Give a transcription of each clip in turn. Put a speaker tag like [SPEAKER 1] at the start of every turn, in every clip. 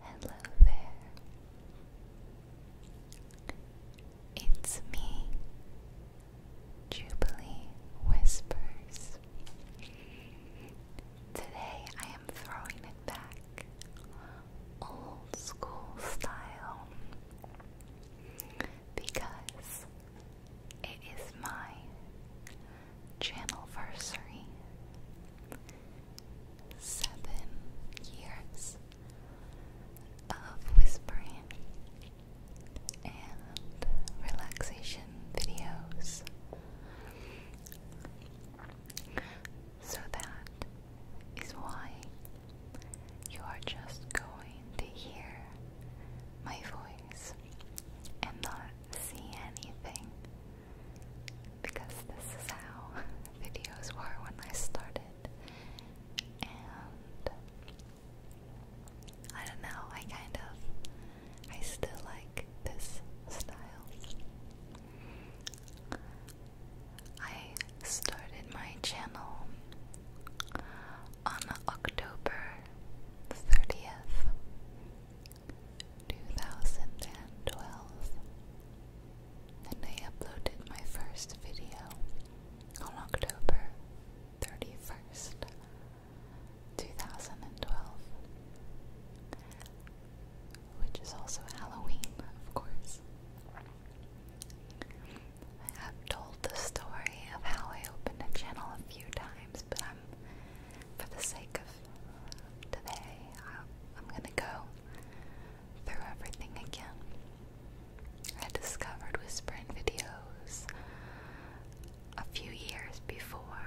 [SPEAKER 1] Hello there. It's me, Jubilee Whispers. Today I am throwing it back, old school style, because it is my Channelversary. Seven years of whispering and relaxation videos so that is why you are just going to hear my voice and not see anything because this is how videos were when I started. And I don't know, I kind of I still like this style. I started my channel on October 30th 2012 and I uploaded my first video on October 31st, 2012 which is also Halloween, of course. I have told the story of how I opened a channel a few times, but um, for the sake of today, I, am gonna go through everything again. I discovered whispering videos a few years before,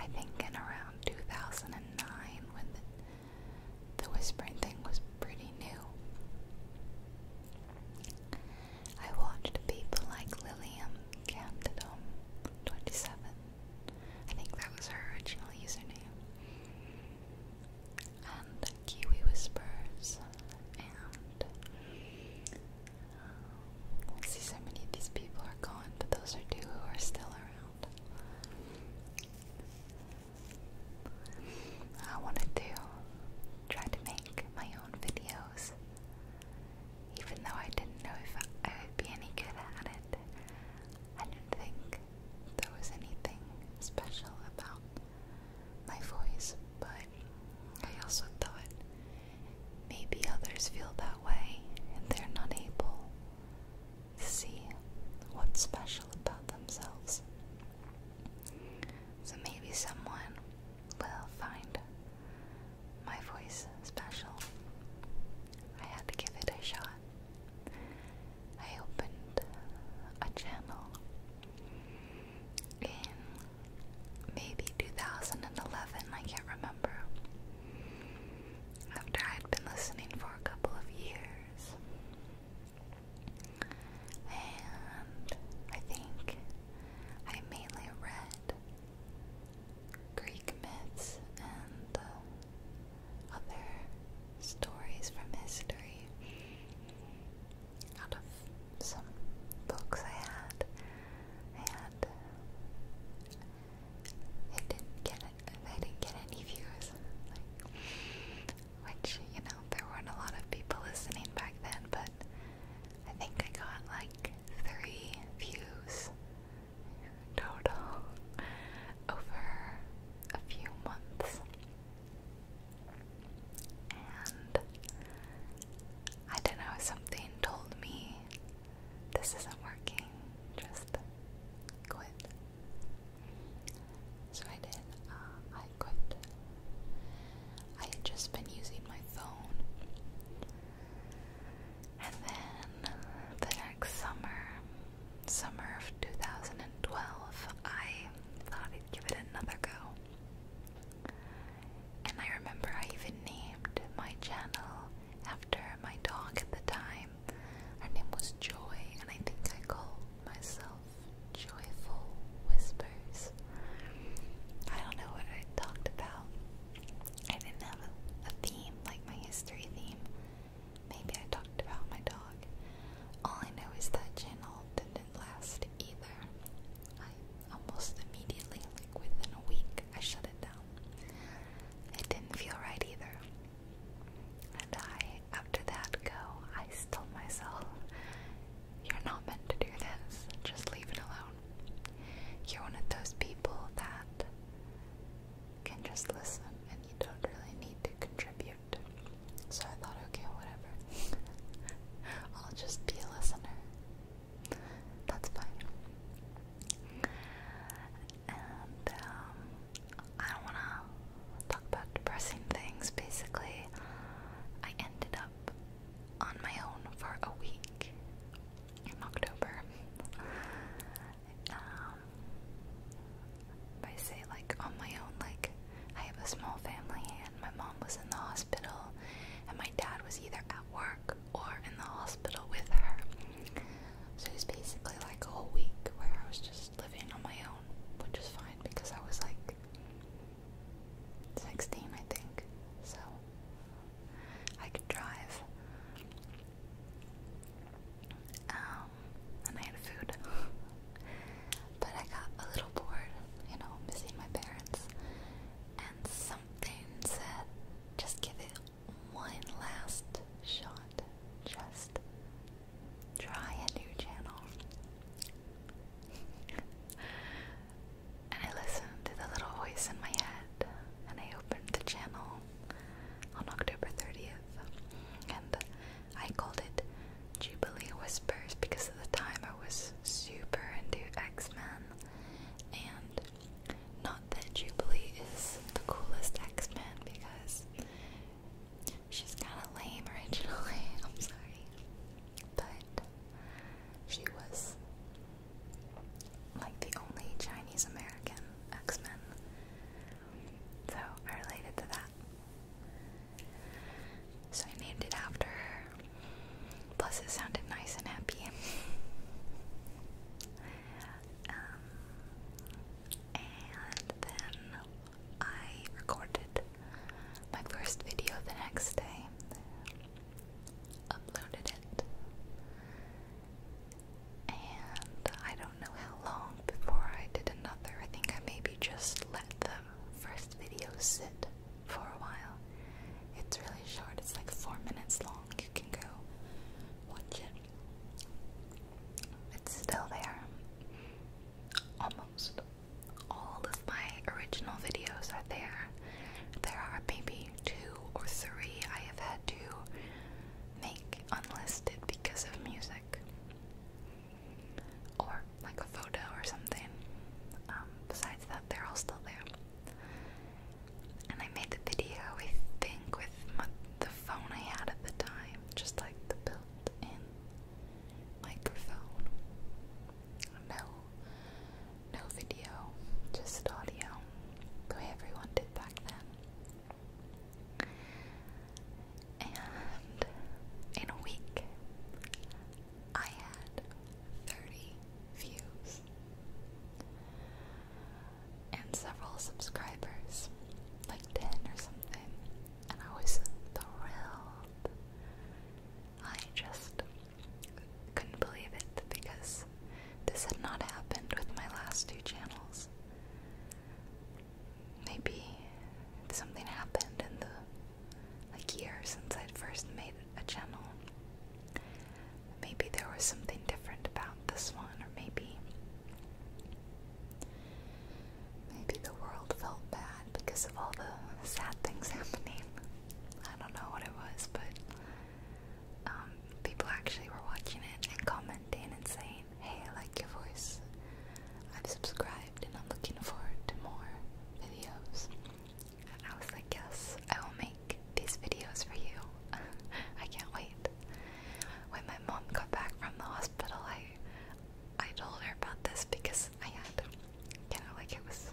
[SPEAKER 1] I think in around 2009 when the, whispering thing was pretty new. I watched people like Lilium Candidum, 27, I think that was her original username. And Kiwi Whispers, and um, I see so many of these people are gone, but those are two who are still around. I wanted to try to make my own videos even though I didn't know if I would be any good at it. I didn't think there was anything special about my voice, but I also thought maybe others feel that way and they're not able to see what's special about themselves. So maybe someone will find my voice special. I had to give it a shot. I opened a channel in maybe 2011, I can't remember. After I'd been listening for a couple of years. And I think I mainly read Greek myths and uh, other stories from history out of some books I had. I I didn't get I didn't get any views, like, which you know there weren't a lot of people listening back then, but I think I got like three views total over a few months. And I don't know, something told me this isn't working, just quit. So I did, uh, I quit. I had just been using my phone and then the next summer, summer of 2012, I thought I'd give it another go. And I remember I even named my channel after my dog at the time. Her name was Joy, and I think I called myself Joyful Whispers. I don't know what I talked about. I didn't have a, theme, like my history theme. Maybe I talked about my dog. All I know is that channel didn't last either. I almost immediately, like within a week, I shut it down. It didn't feel right either. And I, after that go, I told myself, you're not meant to do this. Just leave it alone. You're one of those people that can just listen and you don't really need to contribute. So I thought, okay, whatever. I'll just be a listener. That's fine. And um, I don't want to talk about depressing things. Basically, I ended up on my own for a week in October. Um, I say like on my own, like I have a small family and my mom was in the hospital and my dad was either at work or in the hospital with her. So it was basically like a whole week where I was just living on my own, which is fine because I was like 16, I think. So I could drive. Um, and I had food. but I got a little bored, you know, missing my parents. And something said, just give it one last shot. Just try a new channel. and I listened to the little voice in my head, and I opened the channel on October 30th, and I called it Jubilee Whispers because at the time I was super into X Men, and not that Jubilee is the coolest X Man because she's kind of lame originally, I'm sorry, but she was like the only Chinese American X Men. So I related to that. So I named it after her. Plus, it sounded nice and happy. Um, and then I recorded my first video the next day uploaded it. And I don't know how long before I did another. I think I maybe just let the first video sit for a while. It's really short, it's like four minutes long. You can go watch it. It's still there. Almost all of my original videos are there. There are maybe two or three I have had to make unlisted because of music. Or like a photo or something. Um, besides that, they're all still there. And I made the video, I think, with the phone I had at the time, just like the built in microphone no, no video, just audio, the way everyone did back then. And in a week, I had 30 views and several subscribers, like 10 or something, and I was thrilled. I just couldn't believe it because this had not happened with my last two channels. Maybe something happened in the like year since I'd first made a channel. Maybe there was something different about this one, or maybe maybe the world felt bad because of all the sad things happening. I don't know what it was, but um, people actually were watching it and commenting and saying, hey, I like your voice. I've subscribed and I'm looking forward to more videos. And I was like, yes, I will make these videos for you. I can't wait. When my mom got back from the hospital, I I told her about this because I had kind of like it was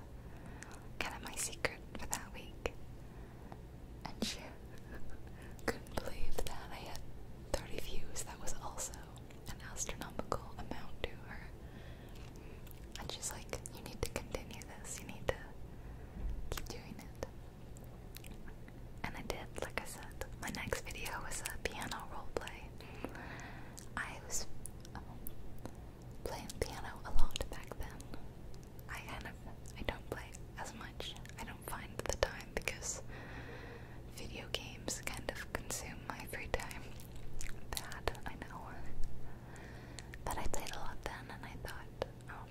[SPEAKER 1] kind of my secret for that week. And she couldn't believe that I had 30 views. That was also an astronomical amount to her. And she's like, You need to continue this. You need to keep doing it. And I did, like I said. My next video was a piano role play. I was. Um, playing piano a lot back then. I kind of I don't play as much. I don't find the time because video games kind of consume my free time. Bad, I know. But I played a lot then and I thought, oh,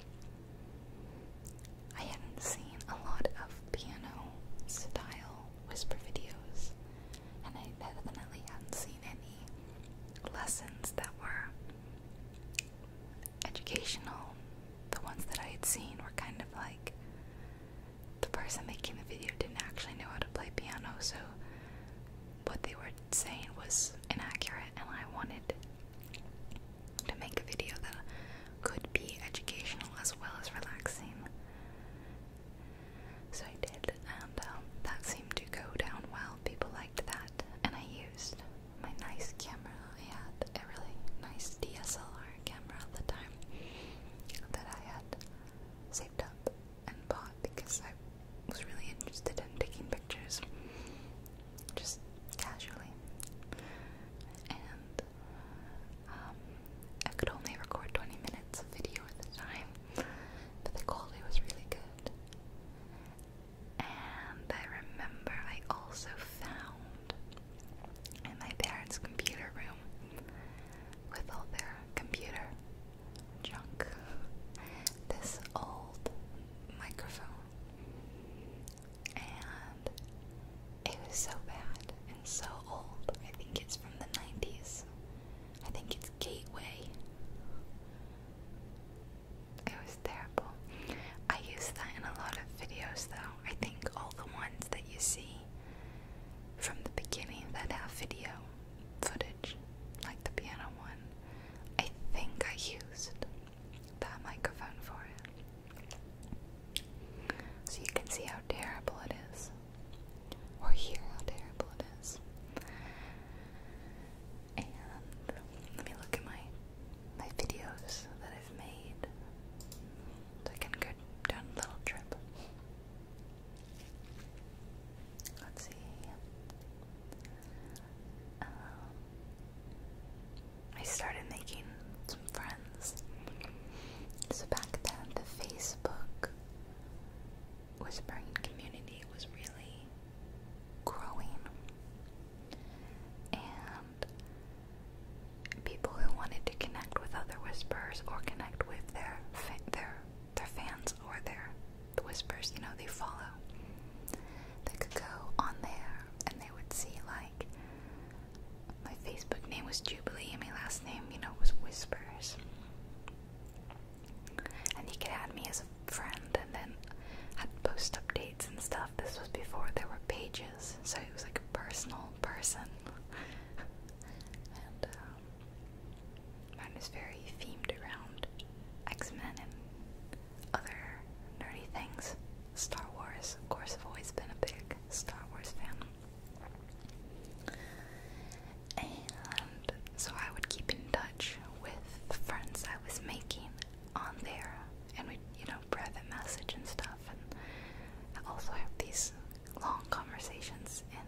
[SPEAKER 1] I hadn't seen a lot of piano style whisper videos and I definitely hadn't seen any lessons that were educational, the ones that I had seen were kind of like the person making the video didn't actually know how to play piano, so what they were saying was inaccurate, and I wanted to make a video that could be educational as well as relaxing. So I did and um, that seemed to go down well. People liked that, and I used my nice camera. I had a really nice DSLR camera at the time that I had saved up and bought because I was really interested in taking pictures just casually. And um, I could only record 20 minutes of video at the time, but the quality was really good. And I remember I also found in my parents' computer room with all their computer junk this old microphone. And it was so bad and so old. I think it's from the 90s. I think it's Gateway. It was terrible. I use that in a lot of videos though. I think all the ones that you see from the beginning that have video footage, like the piano one, I think I used that microphone for it. So you can see how terrible it is. Or hear how terrible it is. And let me look at my my videos that I've made. I can go down a little trip. Let's see. Um, I started making some friends. So back then, the Facebook whispering community was really growing, and people who wanted to connect with other whisperers or connect with their their their fans or their whispers, you know, they follow. They could go on there and they would see like my Facebook name was Jubilee and my last name, you know, was Whispers. And he could add me as a friend and then had post updates and stuff. This was before there were pages, so he was like a personal person. Um, mine was very themed around X Men and other nerdy things. Star Wars, of course, have always been a big Star Wars fan. And so I would keep in touch with friends I was making on there, and we, you know, private message and stuff. And I also have these long conversations in,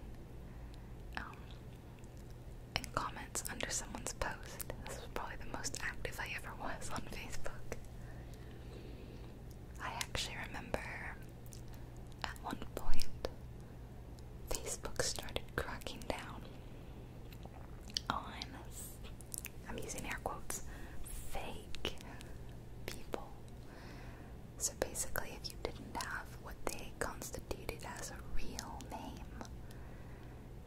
[SPEAKER 1] in um, comments under someone's post. This was probably the most active I ever was on Facebook. I actually remember at one point Facebook started cracking down on, I'm using air quotes, fake people. So basically, if you didn't have what they constituted as a real name,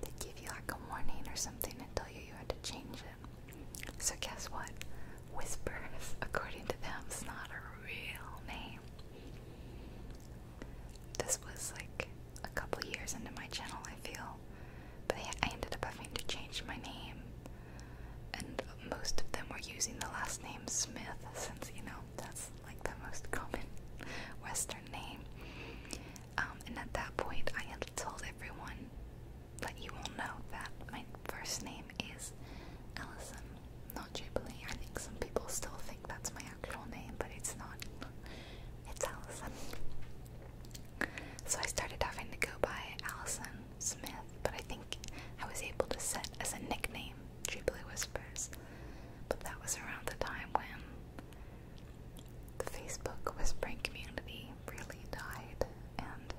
[SPEAKER 1] they'd give you like a warning or something to tell you you had to change it. So, guess what? Whispers, according to them, is not a real name. This was like a couple years into my channel, I feel, but I ended up having to change my name, and most of them were using the last name Smith since you know that's like the most common Western name. Um, and at that point, I had told everyone that you will know that my first name is Allison not Jubilee. I think some people still think that's my actual name, but it's not. It's Allison. So I started having to go by Allison Smith, but I think I was able to set as a nickname Jubilee Whispers. But that was around the time when the Facebook whispering community really died, and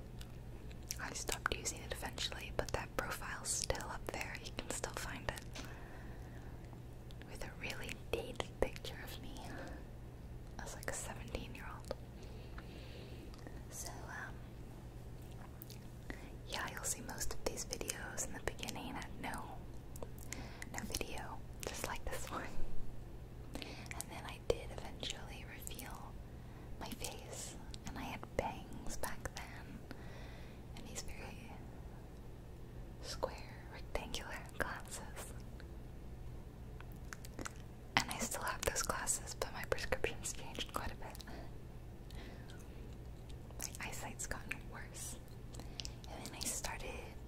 [SPEAKER 1] I stopped using it eventually, but that profile's still up there. You can still find it with a really dated picture of me as like a 17 year old. So, um, yeah, you'll see most of these videos in the beginning at no, no video, just like this one. And then I did eventually reveal my face, and I had bangs back then, and these very square rectangular glasses. And I still have those glasses, but my prescription's changed quite a bit. My eyesight's gotten worse. And then I started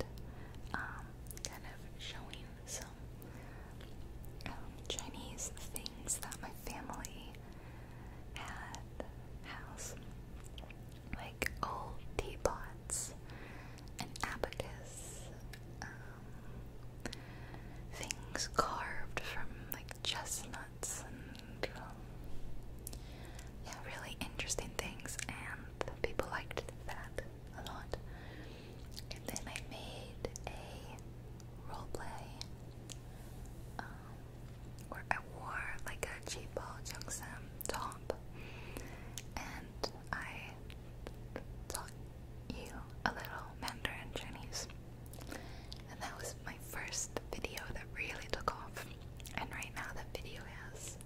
[SPEAKER 1] um, kind of showing some um, Chinese things that my family had house. Like old teapots, an abacus, um, things carved from like chestnuts and um, yeah, really interesting things, and people liked that a lot. And then I made a roleplay um, where I wore like a J-Paul Jungsam top and I taught you a little Mandarin Chinese and that was my first video that really took off and right now that video has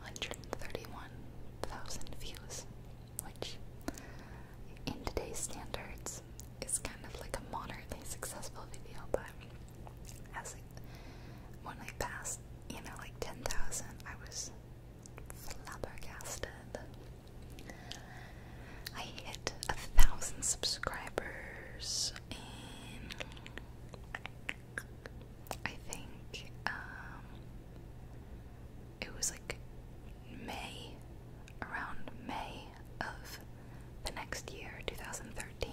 [SPEAKER 1] 131,000 views which in today's standards is kind of like a moderately successful video but as when I passed, you know, like 10,000, I was flabbergasted. I hit a thousand subscribers and I think, um, it was like May, around May of the next year, 2013.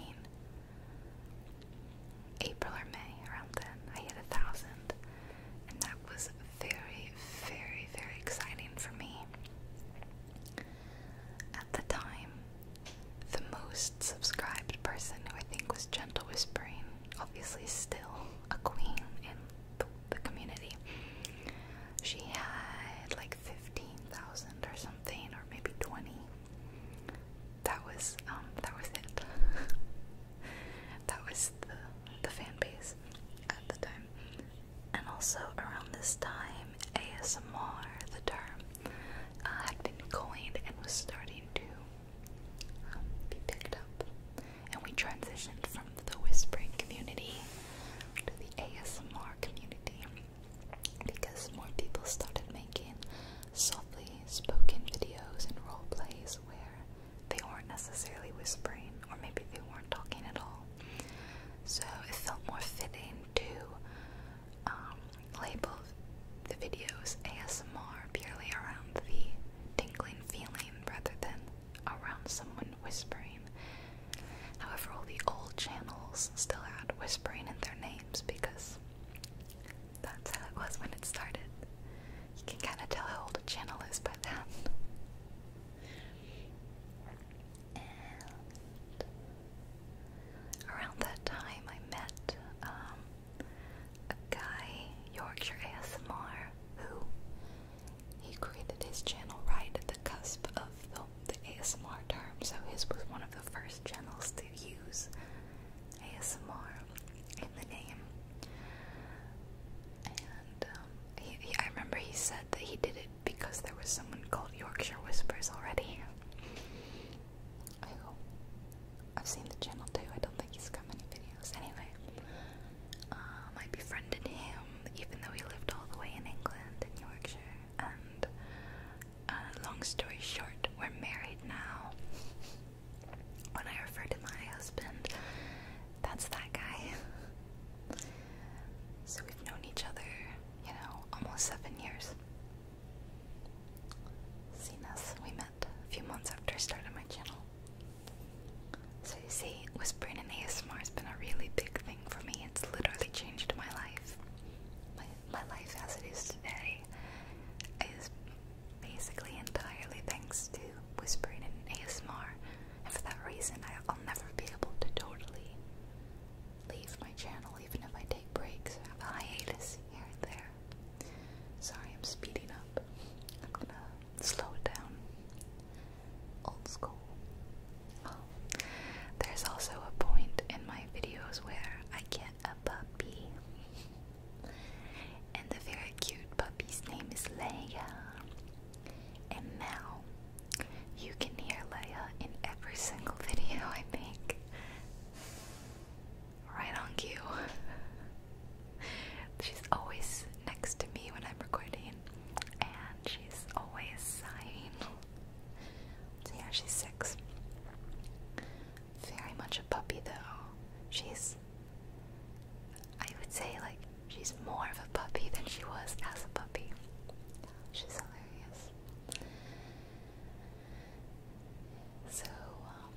[SPEAKER 1] April or May, around then, I hit a thousand, and that was very, very, very exciting for me. At the time, the most subscribed person who I think was Gentle Whispering, obviously still a queen in the community, she had like 15,000 or something, or maybe twenty. That was um that was it. that was the the fan base at the time. And also around this time, ASMR, the term, uh, had been coined and was starting to um, be picked up. And we transitioned from the whispering community to the ASMR community because more people started making softly spoken videos and role plays where they weren't necessarily whispering, or maybe they weren't talking at all. So it felt more fitting to um, label the videos ASMR purely around the tingling feeling rather than around someone whispering. However, all the old channels still had whispering in their names because that's how it was when it started. You can kind of tell how old a channel is by that. around that time, I met um, a guy, Yorkshire ASMR, who he created his channel right at the cusp of the, ASMR term, so his was one of the first channels to use ASMR in the name. And um, I remember he said that he did it because there was someone called Yorkshire Whispers already. I have seen the channel too. I don't think he's got many videos. Anyway, I uh, befriended him even though he lived all the way in England, in Yorkshire and uh, long story short, we're married now. When I refer to my husband, that's that guy. So we've known each other, you know, almost seven years. Seen us, we met a few months after I started my channel. So you see, whispering in ASMR has been a really big thing for me. It's literally changed my life. My, life as it is today is basically entirely thanks to whispering in ASMR, and for that reason, I'll never be able to totally leave my channel, even if I take breaks I have a hiatus here and there. Sorry, I'm speeding up. I'm gonna slow it down. Old school there's also a point in my videos where I get a puppy. And the very cute puppy's name is Leia. And now you can hear Leia in every single video I make. Right on cue. she's always next to me when I'm recording, and she's always sighing yeah, she's six. Very much a puppy though. She's I would say like she's more of a puppy than she was as a puppy. She's hilarious. So um,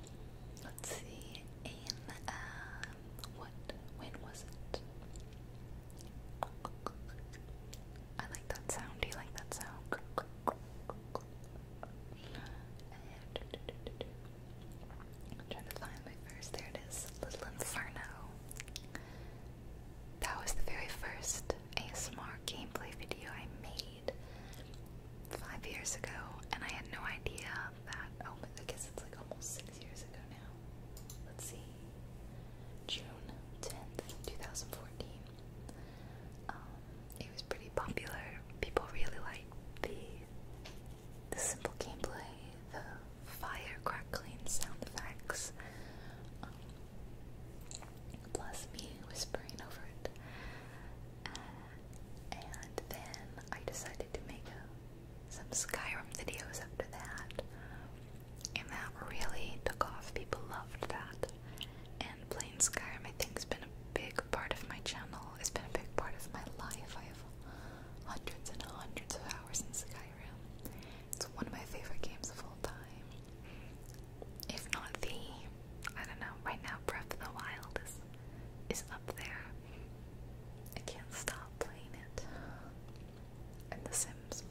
[SPEAKER 1] let's see. In um, what when was it? I like that sound. Do you like that sound? trying to find my first. There it is. Little Inferno. That was the very first ASMR gameplay video I made five years ago, and I had no idea that. Oh, I guess it's like almost six years ago now. Let's see. June 10th, 2014. Um, it was pretty popular. People really liked the the simple gameplay, the fire crackling sound effects, um, plus me whispering over it. Uh, and then I decided to make uh, some Skyrim videos after that and that really took off. People loved that. And playing Skyrim, I think, has been a big part of my channel. It's been a big part of my life. I have hundreds and hundreds of hours in Skyrim. It's one of my favorite games of all time. If not the, I don't know. Right now, Breath of the Wild is is up there. I can't stop playing it and The Sims.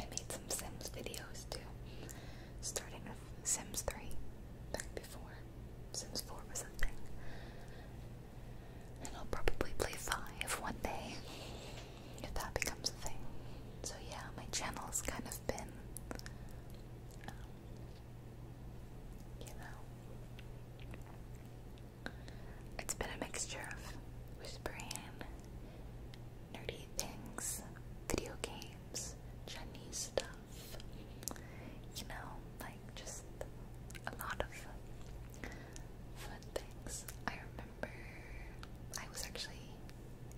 [SPEAKER 1] I made some Sims videos too, starting with Sims 3 back before Sims 4 was a thing. And I'll probably play 5 one day if that becomes a thing. So, yeah, my channel has kind of been, um, you know, it's been a mixture of whispering nerdy things, video games, Chinese stuff. You know, like just a lot of fun, things. I remember I was actually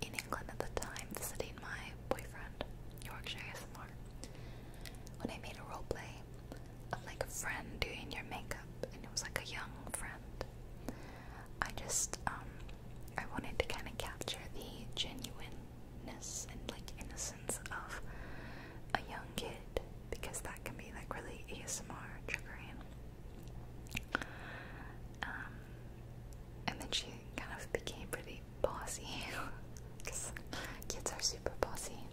[SPEAKER 1] in England at the time visiting my boyfriend, Yorkshire ASMR, when I made a role roleplay of like a friend doing your makeup, and it was like a young friend. I just um, I wanted to kind of capture the genuineness and like innocence of a young kid because that can be like really ASMR triggering. Um, and then she kind of became pretty bossy because kids are super bossy,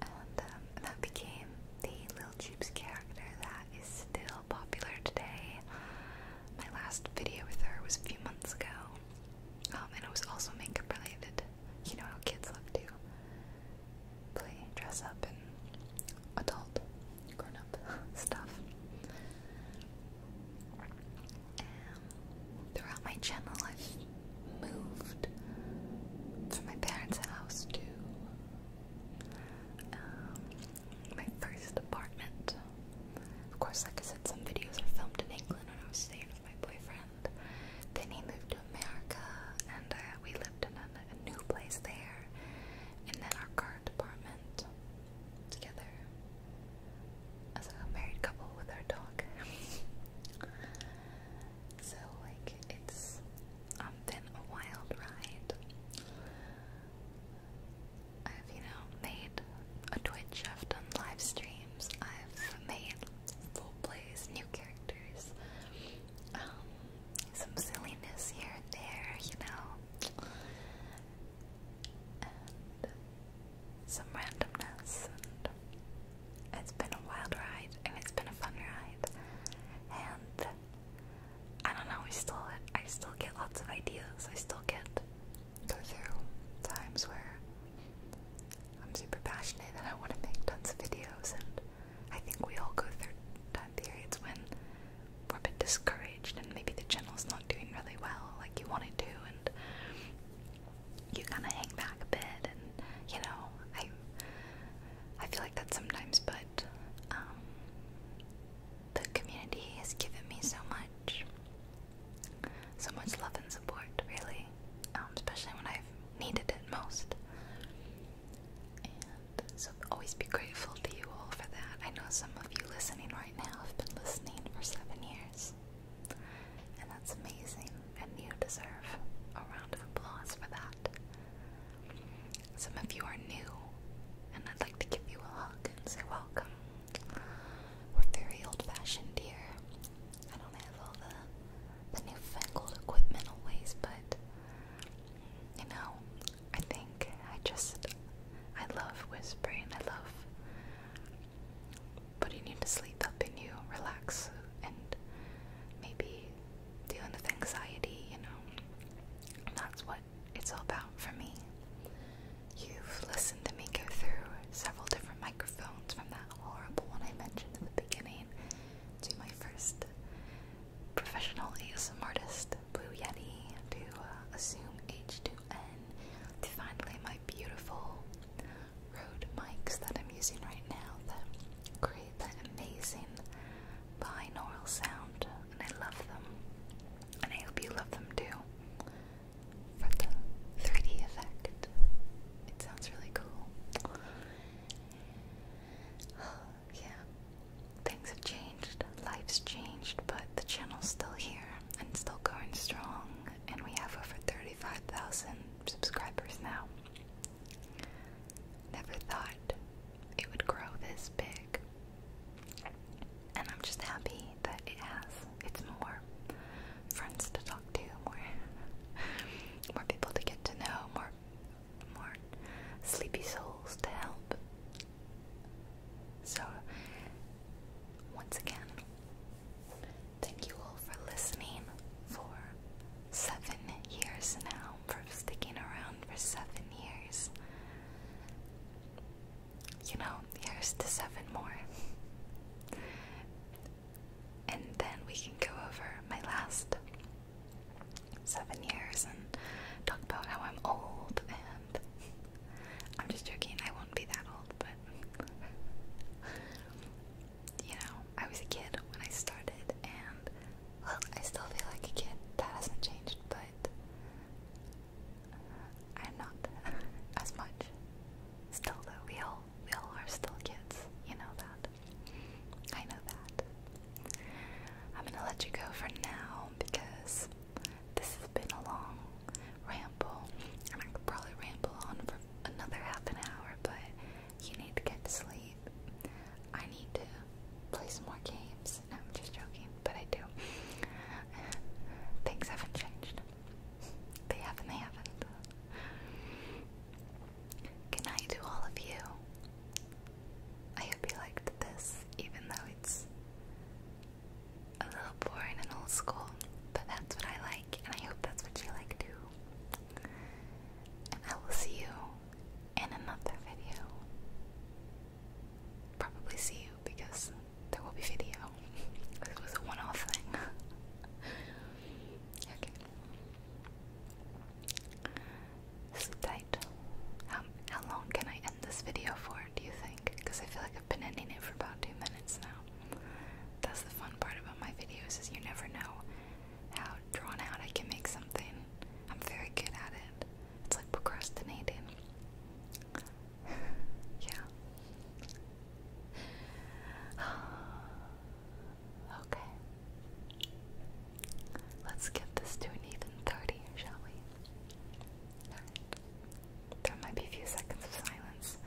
[SPEAKER 1] and um, that became the little Jeeps character that that is still popular today. My last video with her was a few months ago, um, and it was also makeup related. You know how kids love to play, dress up, and adult, grown up stuff. throughout my channel, I've moved from my parents' house to um, my first apartment. Of course, like I said, some videos are filmed in England when I was staying with my boyfriend. Then he moved to America, and uh, we lived in a, a new place there, and then our current apartment together as a married couple with our dog. So like it's um, been a wild ride. I've you know made a Twitch, I've done live streams, I've made full plays, new characters, um, some silliness here and there, you know, and some randomness. it's been a wild ride, and it's been a fun ride, and I don't know, I still I still get lots of ideas. I still get go through times where I'm super passionate and I want to make tons of videos and I think we all go through time periods when we're a bit discouraged and maybe the channel's not doing really well like you want it to and you kinda hang back a bit and you know, I I feel like that sometimes, but um, the community has given me so much, so much love and support, really, um, especially when I've needed it most. And so, always be grateful to you all for that. I know some of you listening right now have been listening for seven years, and that's amazing, and you deserve a round of applause for that. Some of you are new, and I'd like to give you a hug and say welcome. We're very old fashioned here. I don't have all the, the newfangled equipment always, but you know, I think I just, I love whispering. I love putting you to sleep, helping you relax, and maybe dealing with anxiety, you know. that's what it's all about for me. You've listened to me go through several different microphones from that horrible one I mentioned in the beginning to my first professional ASMR artist, Blue Yeti, to uh, Assume H2N, to finally my beautiful Rode mics that I'm using right now create that amazing binaural sound, and I love them. And I hope you love them too. For the 3D effect, it sounds really cool. yeah, things have changed, life's changed, but the channel's still here and still going strong, and we have over 35,000 subscribers now. Never thought it would grow this big. And I'm just happy that it has. It's more friends to talk to, more more people to get to know, more more sleepy souls to help. So once again, thank you all for listening, for seven years now, for sticking around for seven years. You know, here's the seven more. And then we can go over my last seven years and talk about how I'm old and I'm just joking, I won't be that old, but you know, I was a kid when I started, and look, I still feel like a kid. That hasn't changed, but I'm not as much. Still, though, we all we all are still kids. You know that. I know that. I'm gonna let you go for now because this has been a long ramble, and I could probably ramble on for another half an hour, but you need to get to sleep. I need to play some more games. I'm just joking, but I do. Things haven't changed. They haven't, they haven't. Good night to all of you. I hope you liked this, even though it's a little boring and old school, but that's what I like, and I hope that's what you like too. And I will see you in another video. Probably see you because there will be video. It was a one-off thing. okay. This tight. Um, how long can I end this video for, do you think? Because I feel like I've been ending it for about two minutes now. That's the fun part about my videos is you never know how drawn out I can make something. I'm very good at it. It's like procrastinating. yeah. okay. Let's get this to an even 30, shall we? There might be a few seconds of silence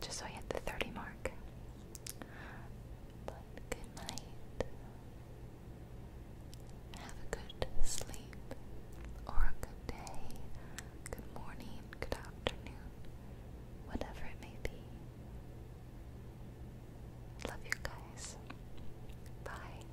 [SPEAKER 1] just so I hit the 30 mark good night. Have a good sleep or a good day, good morning, good afternoon, whatever it may be. Love you guys. Bye.